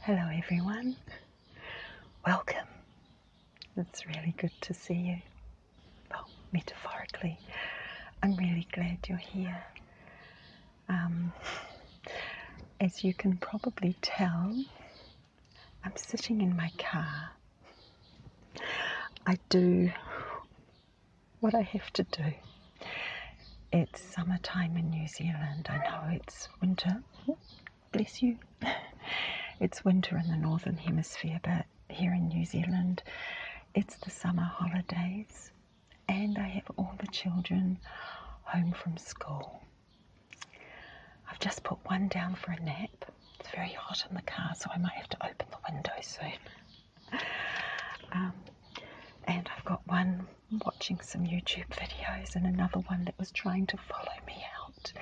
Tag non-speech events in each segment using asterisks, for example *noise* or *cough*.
Hello, everyone. Welcome. It's really good to see you. Well, metaphorically, I'm really glad you're here. Um, as you can probably tell, I'm sitting in my car. I do what I have to do it's summertime in New Zealand. I know it's winter. Oh, bless you. *laughs* it's winter in the Northern Hemisphere, but here in New Zealand, it's the summer holidays. And I have all the children home from school. I've just put one down for a nap. It's very hot in the car, so I might have to open the window soon. *laughs* Um, and I've got one watching some YouTube videos and another one that was trying to follow me out,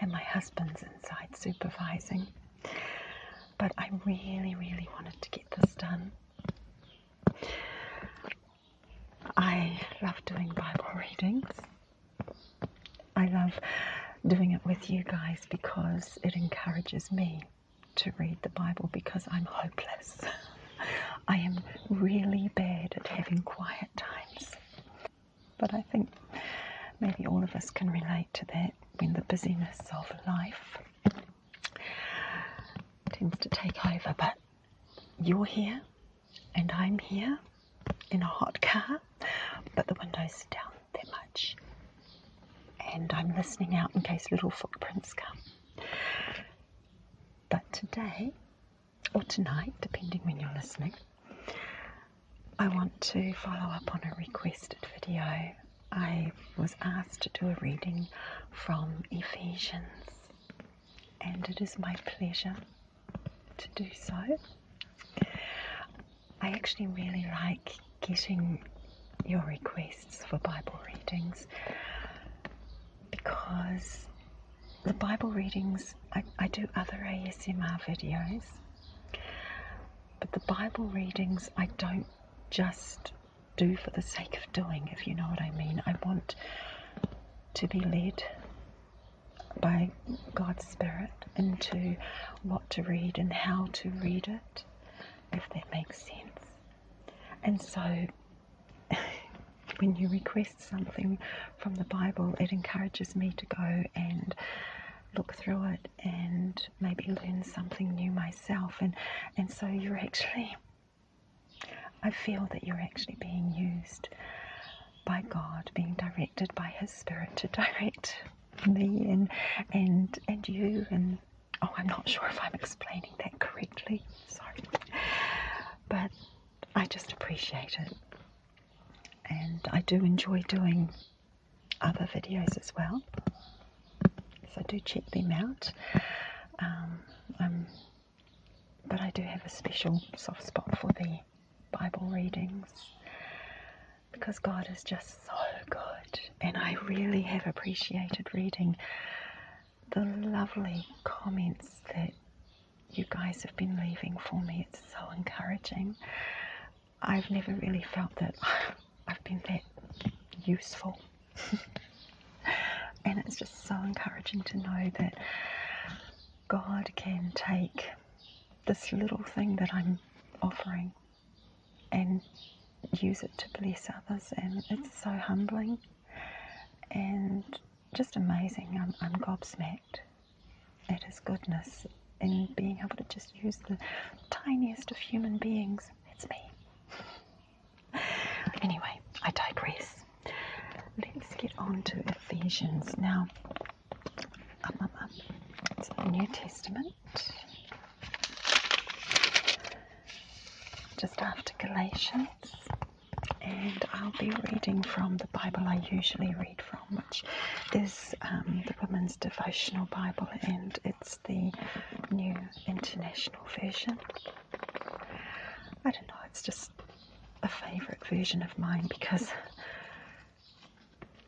and my husband's inside supervising. But I really, really wanted to get this done. I love doing Bible readings. I love doing it with you guys because it encourages me to read the Bible because I'm hopeless. *laughs* I am really bad at having quiet times. But I think maybe all of us can relate to that when the busyness of life tends to take over. But you're here, and I'm here in a hot car, but the windows down that much. And I'm listening out in case little footprints come. But today, or tonight, depending when you're listening, I want to follow up on a requested video. I was asked to do a reading from Ephesians, and it is my pleasure to do so. I actually really like getting your requests for Bible readings because the Bible readings, I, I do other ASMR videos, but the Bible readings I don't just do for the sake of doing, if you know what I mean. I want to be led by God's Spirit into what to read and how to read it, if that makes sense. And so *sighs* when you request something from the Bible, it encourages me to go and look through it and maybe learn something new myself. And, and so you're actually, I feel that you're actually being used by God, being directed by His Spirit to *laughs* direct me and, and, and you. And oh, I'm not sure if I'm explaining that correctly. Sorry but I just appreciate it. And I do enjoy doing other videos as well. So do check them out. Um, um, but I do have a special soft spot for the Bible readings because God is just so good. And I really have appreciated reading the lovely comments that you guys have been leaving for me. It's so encouraging. I've never really felt that *laughs* I've been that useful. *laughs* and it's just so encouraging to know that God can take this little thing that I'm offering and use it to bless others. And it's so humbling. And just amazing. I'm, gobsmacked at his goodness in being able to just use the tiniest of human beings. That's me. anyway, I digress. Let's get on to Ephesians. Now, um, um, um, New Testament. Just after Galatians and I'll be reading from the Bible I usually read from, which is um, the Women's Devotional Bible, and it's the New International Version. I don't know, it's just a favourite version of mine because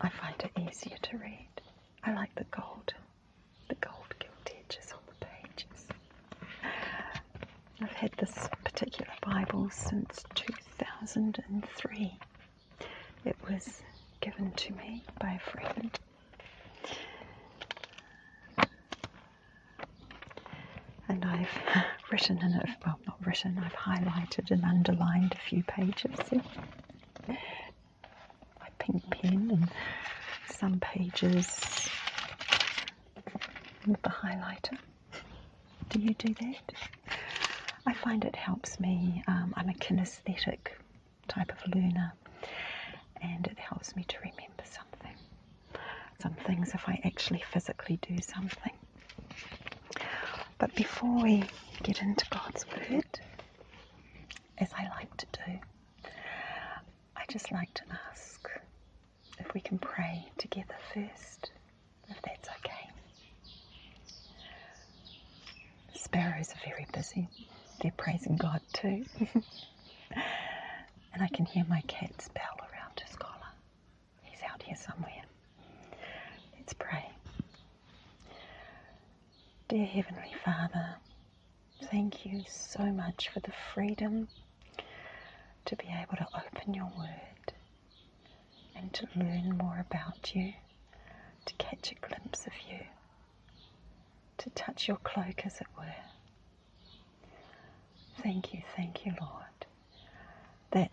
I find it easier to read. I like the gold, the gold gilt edges on the pages. I've had this particular Bible since 2003. It was given to me by a friend. And I've *laughs* written in it, well, not written, I've highlighted and underlined a few pages. My pink pen and some pages with the highlighter. Do you do that? I find it helps me. Um, I'm a kinesthetic type of learner, and it helps me to remember something. Some things if I actually physically do something. But before we get into God's Word, as I like to do, I just like to ask if we can pray together first, if that's okay. Sparrows are very busy, they're praising God too. *laughs* and I can hear my cat's bell around his collar. He's out here somewhere. Let's pray. Dear Heavenly Father, thank you so much for the freedom to be able to open your word and to learn more about you, to catch a glimpse of you, to touch your cloak, as it were. Thank you, thank you, Lord, that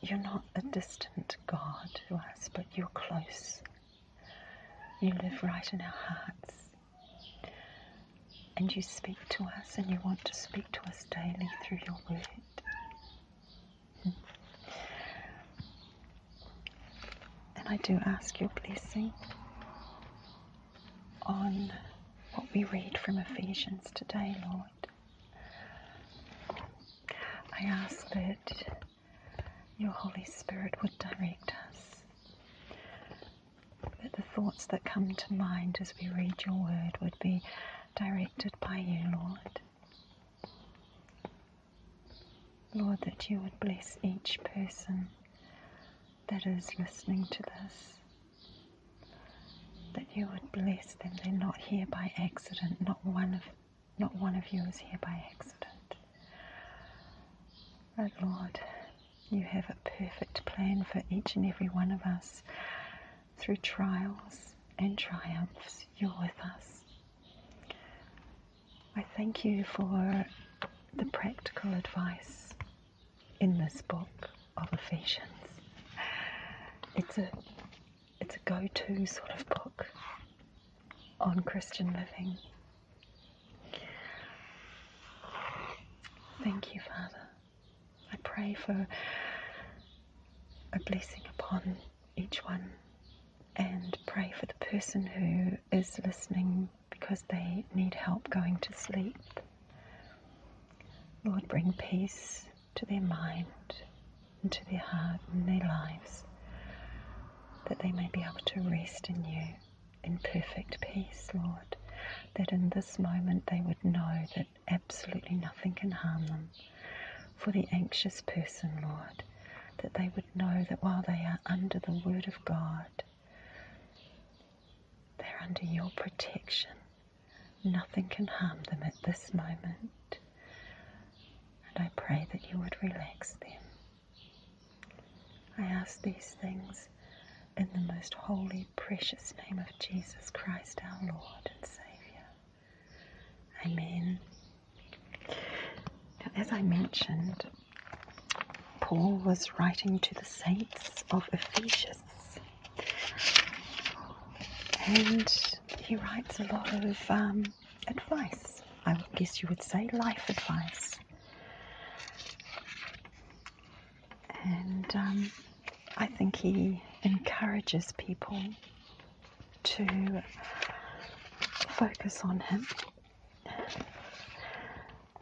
you're not a distant God to us, but you're close. You live right in our hearts. And you speak to us, and you want to speak to us daily through your word. And I do ask your blessing on what we read from Ephesians today, Lord. I ask that your Holy Spirit would direct us that the thoughts that come to mind as we read your word would be directed by you, Lord. Lord, that you would bless each person that is listening to this. That you would bless them. They're not here by accident. Not one of not one of you is here by accident. But Lord, you have a perfect plan for each and every one of us. Through trials and triumphs, you're with us. I thank you for the practical advice in this book of Ephesians. It's a it's a go-to sort of book on Christian living. Thank you, Father. I pray for a blessing upon each one and pray for the person who is listening because they need help going to sleep. Lord, bring peace to their mind and to their heart and their lives that they may be able to rest in you in perfect peace, Lord that in this moment they would know that absolutely nothing can harm them. For the anxious person, Lord, that they would know that while they are under the Word of God, they're under your protection. Nothing can harm them at this moment. And I pray that you would relax them. I ask these things in the most holy, precious name of Jesus Christ, our Lord and Saviour. Amen. Now, as I mentioned, Paul was writing to the saints of Ephesus. And he writes a lot of um, advice. I guess you would say life advice and um, I think he encourages people to focus on him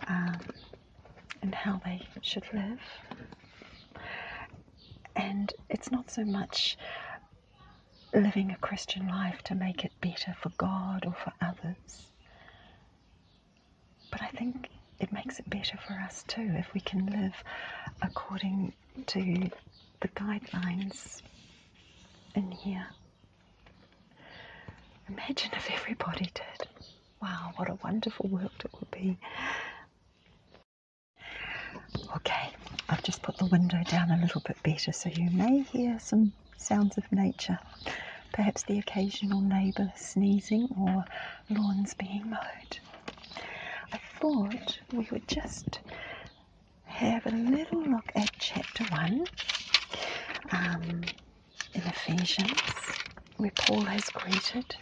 um, and how they should live. And it's not so much living a Christian life to make it better for God or for others, but I think it makes it better for us too if we can live according to the guidelines in here. Imagine if everybody did. Wow, what a wonderful world it would be. Okay, I've just put the window down a little bit better so you may hear some sounds of nature. Perhaps the occasional neighbour sneezing or lawns being mowed. I thought we would just have a little look at chapter 1 um, in Ephesians, where Paul has greeted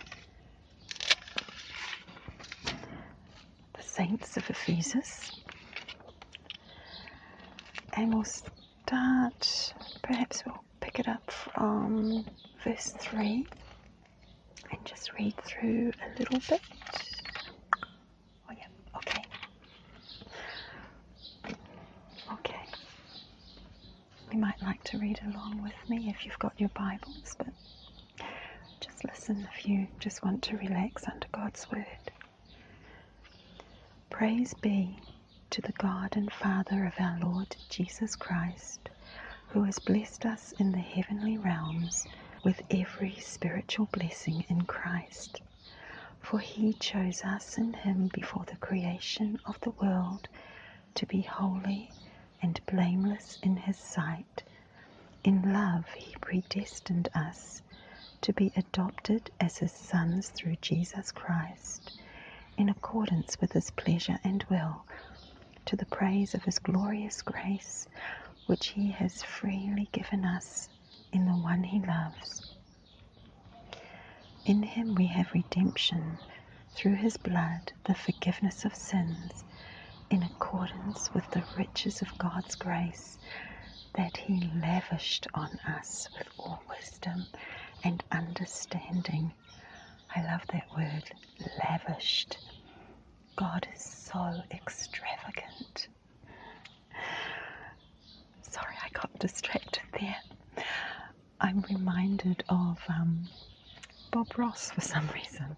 the saints of Ephesus. And we'll start, perhaps we'll pick it up from verse 3 and just read through a little bit. Oh, yeah, okay. Okay. You might like to read along with me if you've got your Bibles, but just listen if you just want to relax under God's Word. Praise be to the God and Father of our Lord Jesus Christ who has blessed us in the heavenly realms with every spiritual blessing in Christ. For he chose us in him before the creation of the world to be holy and blameless in his sight. In love, he predestined us to be adopted as his sons through Jesus Christ in accordance with his pleasure and will, to the praise of his glorious grace, which he has freely given us in the one he loves. In him we have redemption through his blood, the forgiveness of sins, in accordance with the riches of God's grace that he lavished on us with all wisdom and understanding I love that word, lavished. God is so extravagant. Sorry, I got distracted there. I'm reminded of um, Bob Ross for some reason.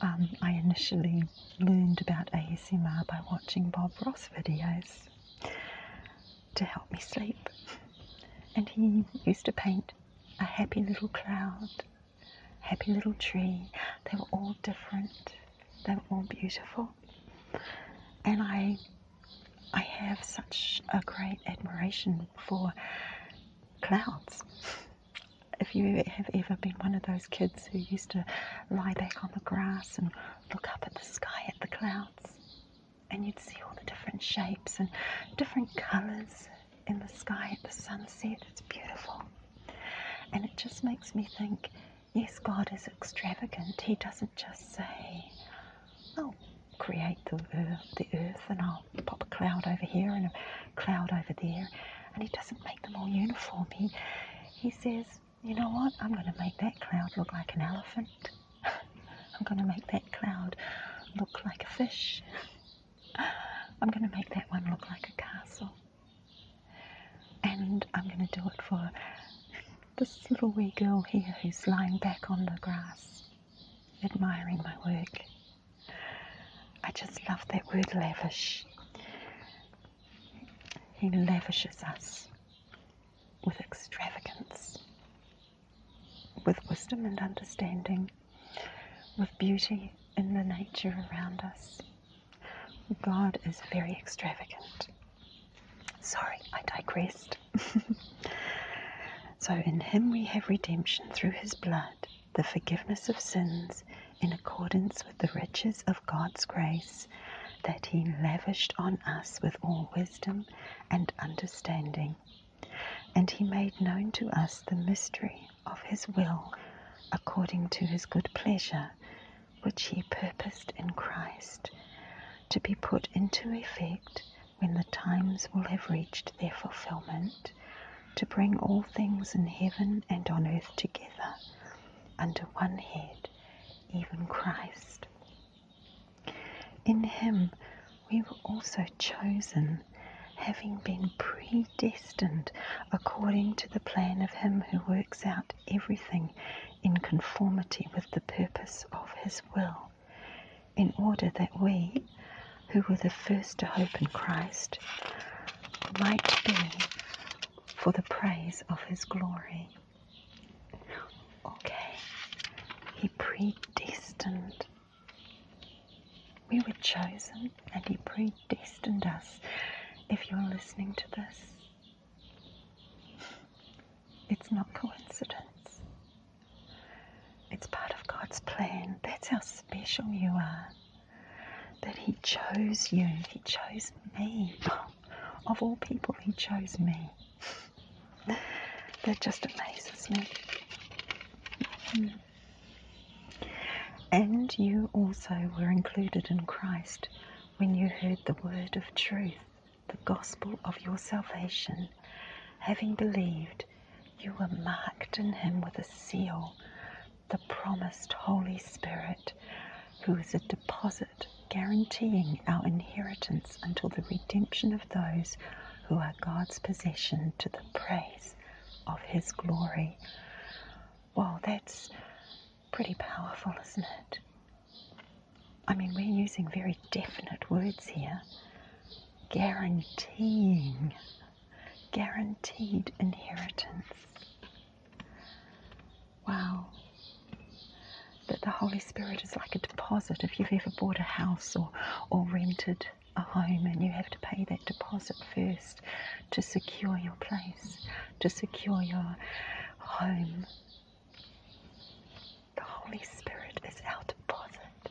Um, I initially learned about ASMR by watching Bob Ross videos to help me sleep. And he used to paint a happy little cloud, happy little tree. They were all different. They were all beautiful. And I I have such a great admiration for clouds. *laughs* If you have ever been one of those kids who used to lie back on the grass and look up at the sky at the clouds, and you'd see all the different shapes and different colors in the sky at the sunset. It's beautiful. And it just makes me think yes, God is extravagant. He doesn't just say, oh, create the earth, the earth and I'll pop a cloud over here and a cloud over there. And He doesn't make them all uniform. He, he says, you know what? I'm going to make that cloud look like an elephant. *laughs* I'm going to make that cloud look like a fish. *laughs* I'm going to make that one look like a castle. And I'm going to do it for this little wee girl here who's lying back on the grass, admiring my work. I just love that word lavish. He lavishes us with extravagance with wisdom and understanding, with beauty in the nature around us. God is very extravagant. Sorry, I digressed. *laughs* so, in Him we have redemption through His blood, the forgiveness of sins, in accordance with the riches of God's grace that He lavished on us with all wisdom and understanding. And he made known to us the mystery of his will according to his good pleasure, which he purposed in Christ, to be put into effect when the times will have reached their fulfillment, to bring all things in heaven and on earth together under one head, even Christ. In him we were also chosen, having been predestined according to the plan of Him who works out everything in conformity with the purpose of His will, in order that we, who were the first to hope in Christ, might be for the praise of His glory. Okay, He predestined we were chosen and He predestined us. If you're listening to this, it's not coincidence. It's part of God's plan. That's how special you are. That He chose you. He chose me. *laughs* Of all people, He chose me. *laughs* That just amazes me. And you also were included in Christ when you heard the word of truth, the gospel of your salvation. Having believed, you were marked in him with a seal, the promised Holy Spirit, who is a deposit guaranteeing our inheritance until the redemption of those who are God's possession to the praise of His glory. Wow, that's pretty powerful, isn't it? I mean, we're using very definite words here guaranteeing, guaranteed inheritance. Wow. That the Holy Spirit is like a deposit if you've ever bought a house or, or rented a home and you have to pay that deposit first to secure your place, to secure your home. The Holy Spirit is our deposit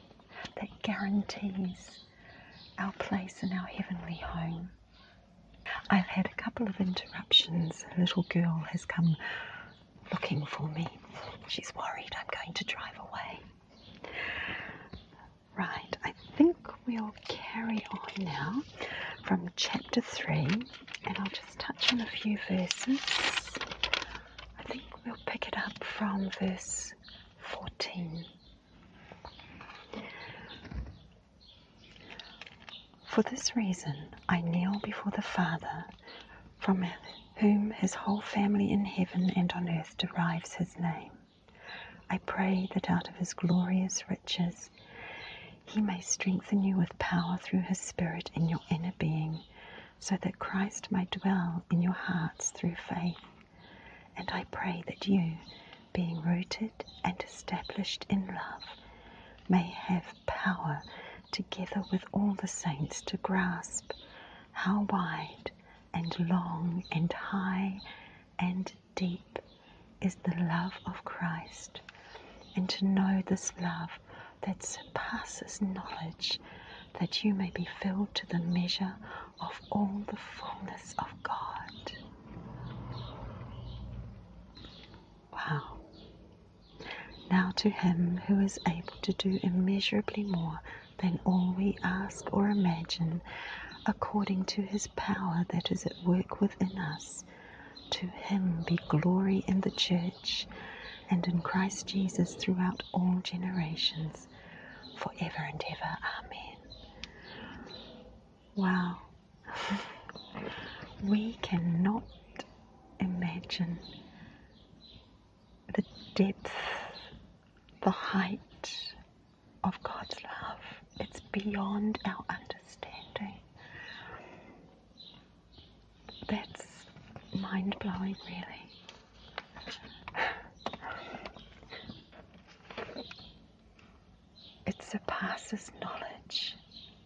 that guarantees our place in our heavenly home. I've had a couple of interruptions. A little girl has come looking for me. She's worried I'm going to drive away. Right, I think we'll carry on now from chapter 3, and I'll just touch on a few verses. I think we'll pick it up from verse 14. For this reason, I kneel before the Father, from heaven whom his whole family in heaven and on earth derives his name. I pray that out of his glorious riches he may strengthen you with power through his Spirit in your inner being, so that Christ may dwell in your hearts through faith. And I pray that you, being rooted and established in love, may have power together with all the saints to grasp how wide and long and high and deep is the love of Christ, and to know this love that surpasses knowledge, that you may be filled to the measure of all the fullness of God. Wow. Now to Him who is able to do immeasurably more than all we ask or imagine, according to his power that is at work within us. To him be glory in the church and in Christ Jesus throughout all generations, forever and ever. Amen. Wow. *laughs* we cannot imagine the depth the height of God's love. It's beyond our understanding. That's mind blowing, really. It surpasses knowledge.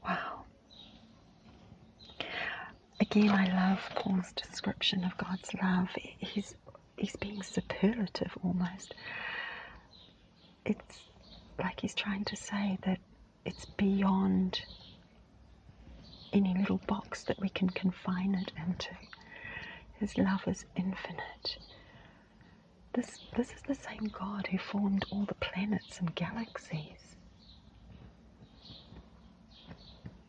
Wow. Again, I love Paul's description of God's love. He's he's being superlative almost. It's like he's trying to say that it's beyond any little box that we can confine it into. His love is infinite. This, this is the same God who formed all the planets and galaxies.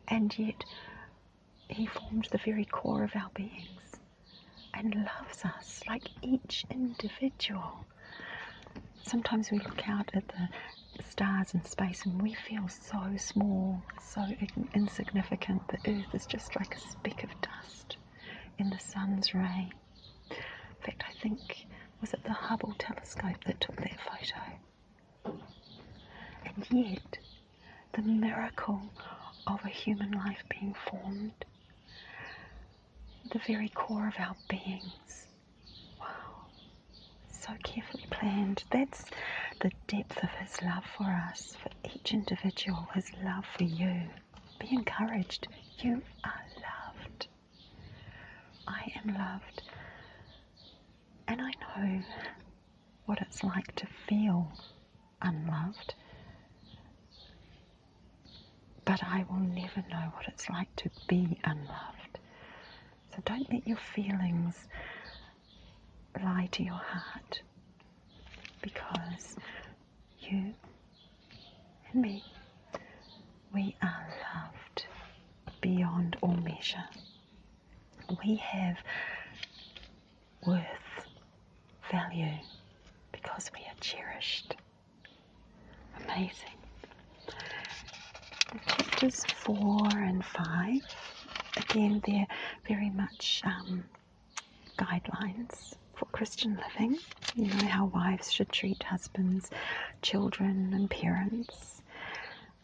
And yet, he forms the very core of our beings and loves us like each individual. Sometimes we look out at the stars and space and we feel so small, so insignificant. The earth is just like a speck of dust in the sun's ray. In fact, I think was it the Hubble telescope that took that photo. And yet, the miracle of a human life being formed, the very core of our beings. Wow, so carefully planned. That's the depth of His love for us, for each individual, His love for you. Be encouraged. You are loved. I am loved. And I know what it's like to feel unloved. But I will never know what it's like to be unloved. So don't let your feelings lie to your heart because you and me, we are loved beyond all measure. We have worth, value, because we are cherished. Amazing. Chapters 4 and 5, again, they're very much um, guidelines for Christian living. You know, how wives should treat husbands, children, and parents.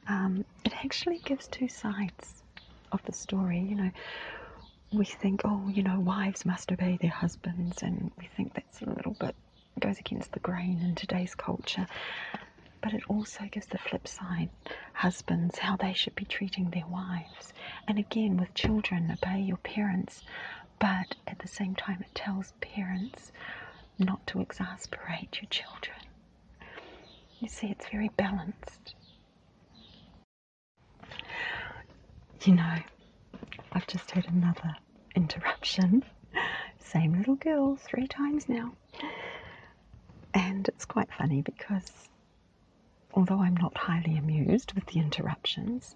Um, it actually gives two sides of the story. You know, we think, oh, you know, wives must obey their husbands, and we think that's a little bit goes against the grain in today's culture. But it also gives the flip side husbands how they should be treating their wives. And again, with children, obey your parents, but at the same time, it tells parents not to exasperate your children. You see, it's very balanced. You know, I've just had another interruption. Same little girl three times now. And it's quite funny because although I'm not highly amused with the interruptions,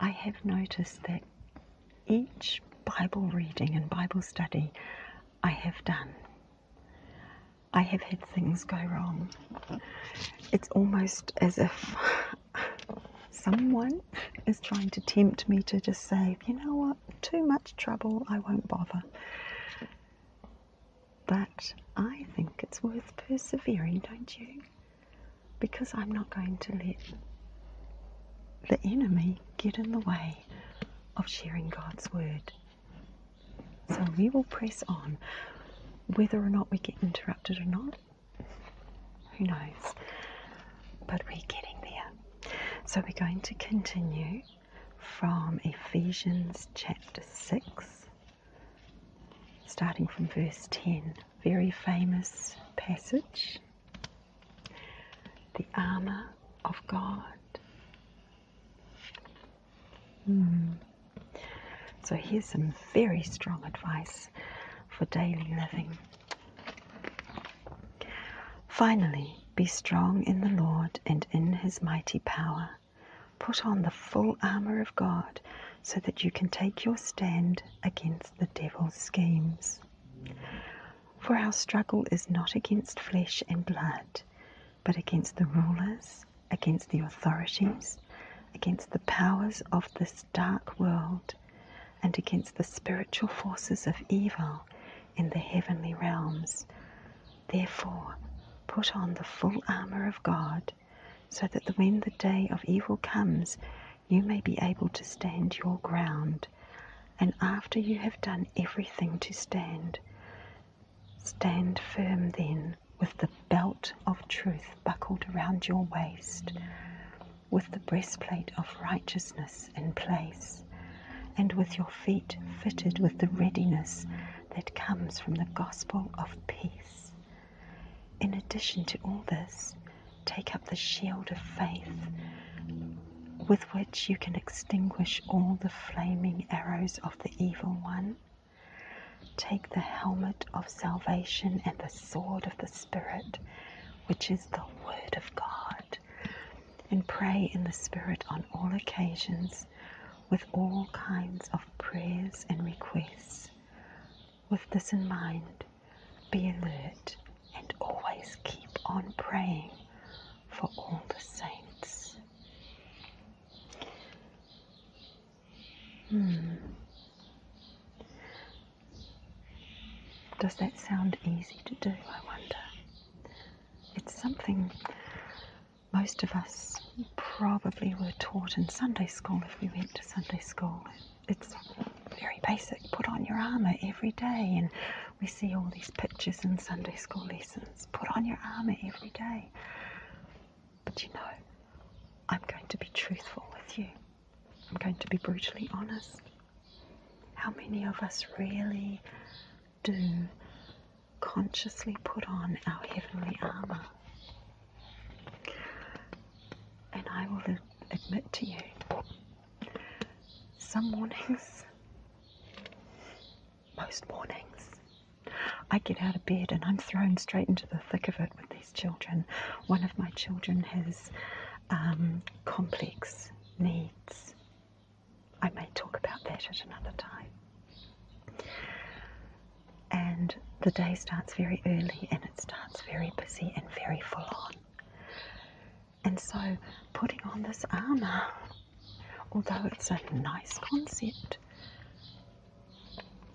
I have noticed that each Bible reading and Bible study I have done I have had things go wrong. It's almost as if someone is trying to tempt me to just say, you know what, too much trouble, I won't bother. But I think it's worth persevering, don't you? Because I'm not going to let the enemy get in the way of sharing God's word. So we will press on, whether or not we get interrupted or not. Who knows? But we're getting there. So we're going to continue from Ephesians chapter 6, starting from verse 10. Very famous passage. The armour of God. Hmm. So, here's some very strong advice for daily living. Finally, be strong in the Lord and in his mighty power. Put on the full armour of God so that you can take your stand against the devil's schemes. For our struggle is not against flesh and blood, but against the rulers against the authorities, against the powers of this dark world, and against the spiritual forces of evil in the heavenly realms. Therefore, put on the full armour of God, so that when the day of evil comes, you may be able to stand your ground. And after you have done everything to stand, stand firm then with the belt of truth buckled around your waist, with the breastplate of righteousness in place, and with your feet fitted with the readiness that comes from the gospel of peace. In addition to all this, take up the shield of faith with which you can extinguish all the flaming arrows of the evil one. Take the helmet of salvation and the sword of the Spirit, which is the Word of God, and pray in the Spirit on all occasions with all kinds of prayers and requests. With this in mind, be alert and always keep on praying for all the saints. Hmm. Does that sound easy to do, I wonder? It's something most of us probably were taught in Sunday school if we went to Sunday school. It's very basic put on your armour every day, and we see all these pictures in Sunday school lessons. Put on your armour every day. But you know, I'm going to be truthful with you. I'm going to be brutally honest. How many of us really do consciously put on our heavenly armour? And I will admit to you, some warnings most mornings. I get out of bed and I'm thrown straight into the thick of it with these children. One of my children has um, complex needs. I may talk about that at another time. And the day starts very early and it starts very busy and very full on. And so putting on this armour Although it's a nice concept,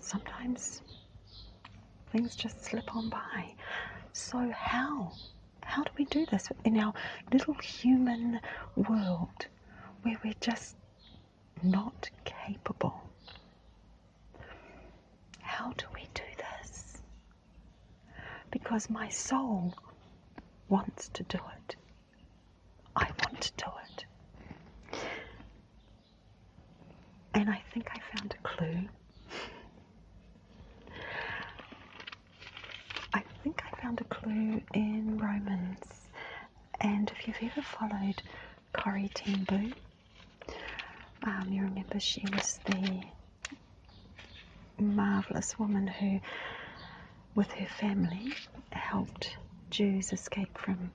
sometimes things just slip on by. So, how? How do we do this in our little human world where we're just not capable? How do we do this? Because my soul wants to do it. I want to do it. And I think I found a clue. I think I found a clue in Romans. And if you've ever followed Corrie Ten Boo, um, you remember she was the marvelous woman who with her family helped Jews escape from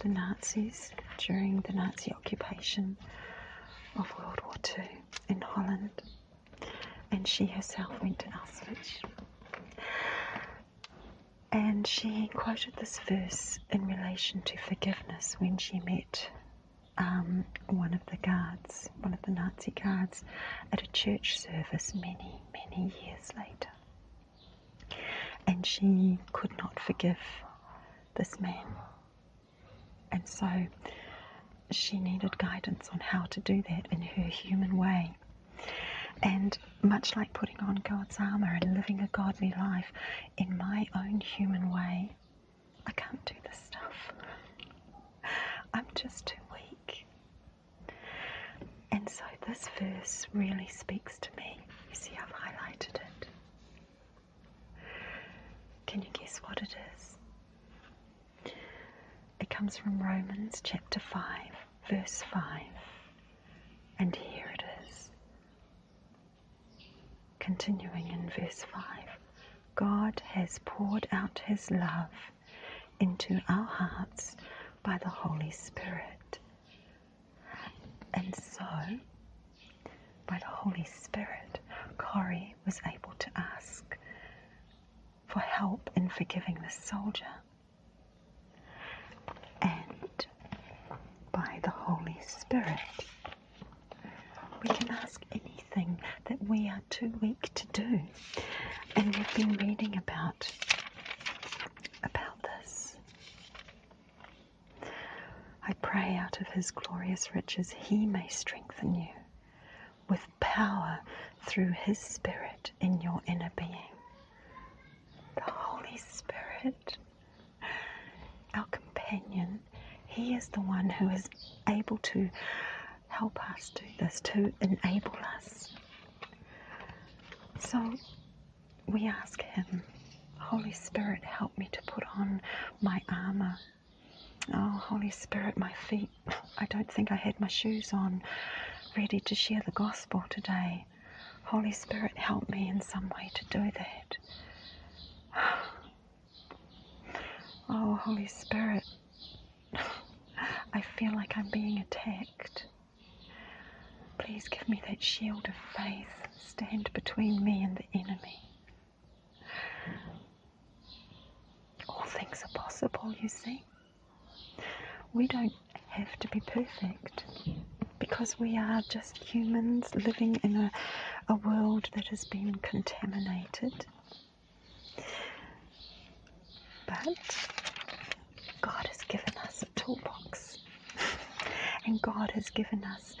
the Nazis during the Nazi occupation of World War II in Holland, and she herself went to Auschwitz. And she quoted this verse in relation to forgiveness when she met um, one of the guards, one of the Nazi guards, at a church service many, many years later. And she could not forgive this man. And so she needed guidance on how to do that in her human way. And much like putting on God's armour and living a godly life in my own human way, I can't do this stuff. I'm just too weak. And so this verse really speaks to me. You see, I've highlighted it. Can you guess what it is? It comes from Romans chapter 5, verse 5. And here it is. Continuing in verse 5 God has poured out his love into our hearts by the Holy Spirit and so, by the Holy Spirit, Corey was able to ask for help in forgiving the soldier. And by the Holy Spirit, we can ask anything that we are too weak to do. And we've been reading about about this I pray out of his glorious riches he may strengthen you with power through his Spirit in your inner being. The Holy Spirit, our companion, he is the one who is able to help us do this, to enable us. So we ask Him, Holy Spirit, help me to put on my armour. Oh, Holy Spirit, my feet, I don't think I had my shoes on, ready to share the gospel today. Holy Spirit, help me in some way to do that. *sighs* Oh, Holy Spirit, I feel like I'm being attacked. Please give me that shield of faith, stand between me and the enemy. All things are possible, you see. We don't have to be perfect because we are just humans living in a, a world that has been contaminated. But God has given us a toolbox, and God has given us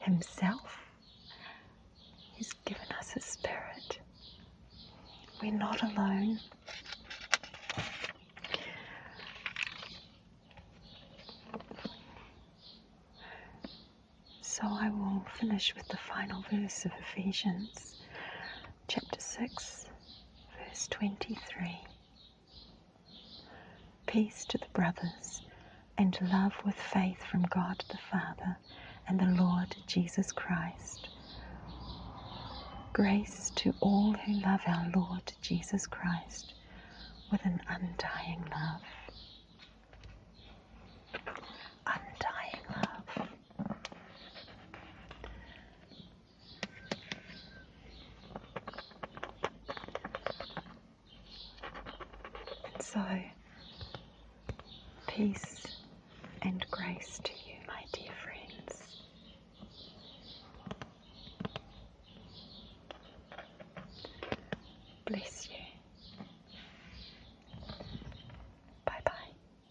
Himself. He's given us a Spirit. We're not alone. So I will finish with the final verse of Ephesians, chapter 6, verse 23. Peace to the brothers and love with faith from God the Father and the Lord Jesus Christ. Grace to all who love our Lord Jesus Christ with an undying love. Undying love. So, peace and grace to you, my dear friends. Bless you. Bye bye.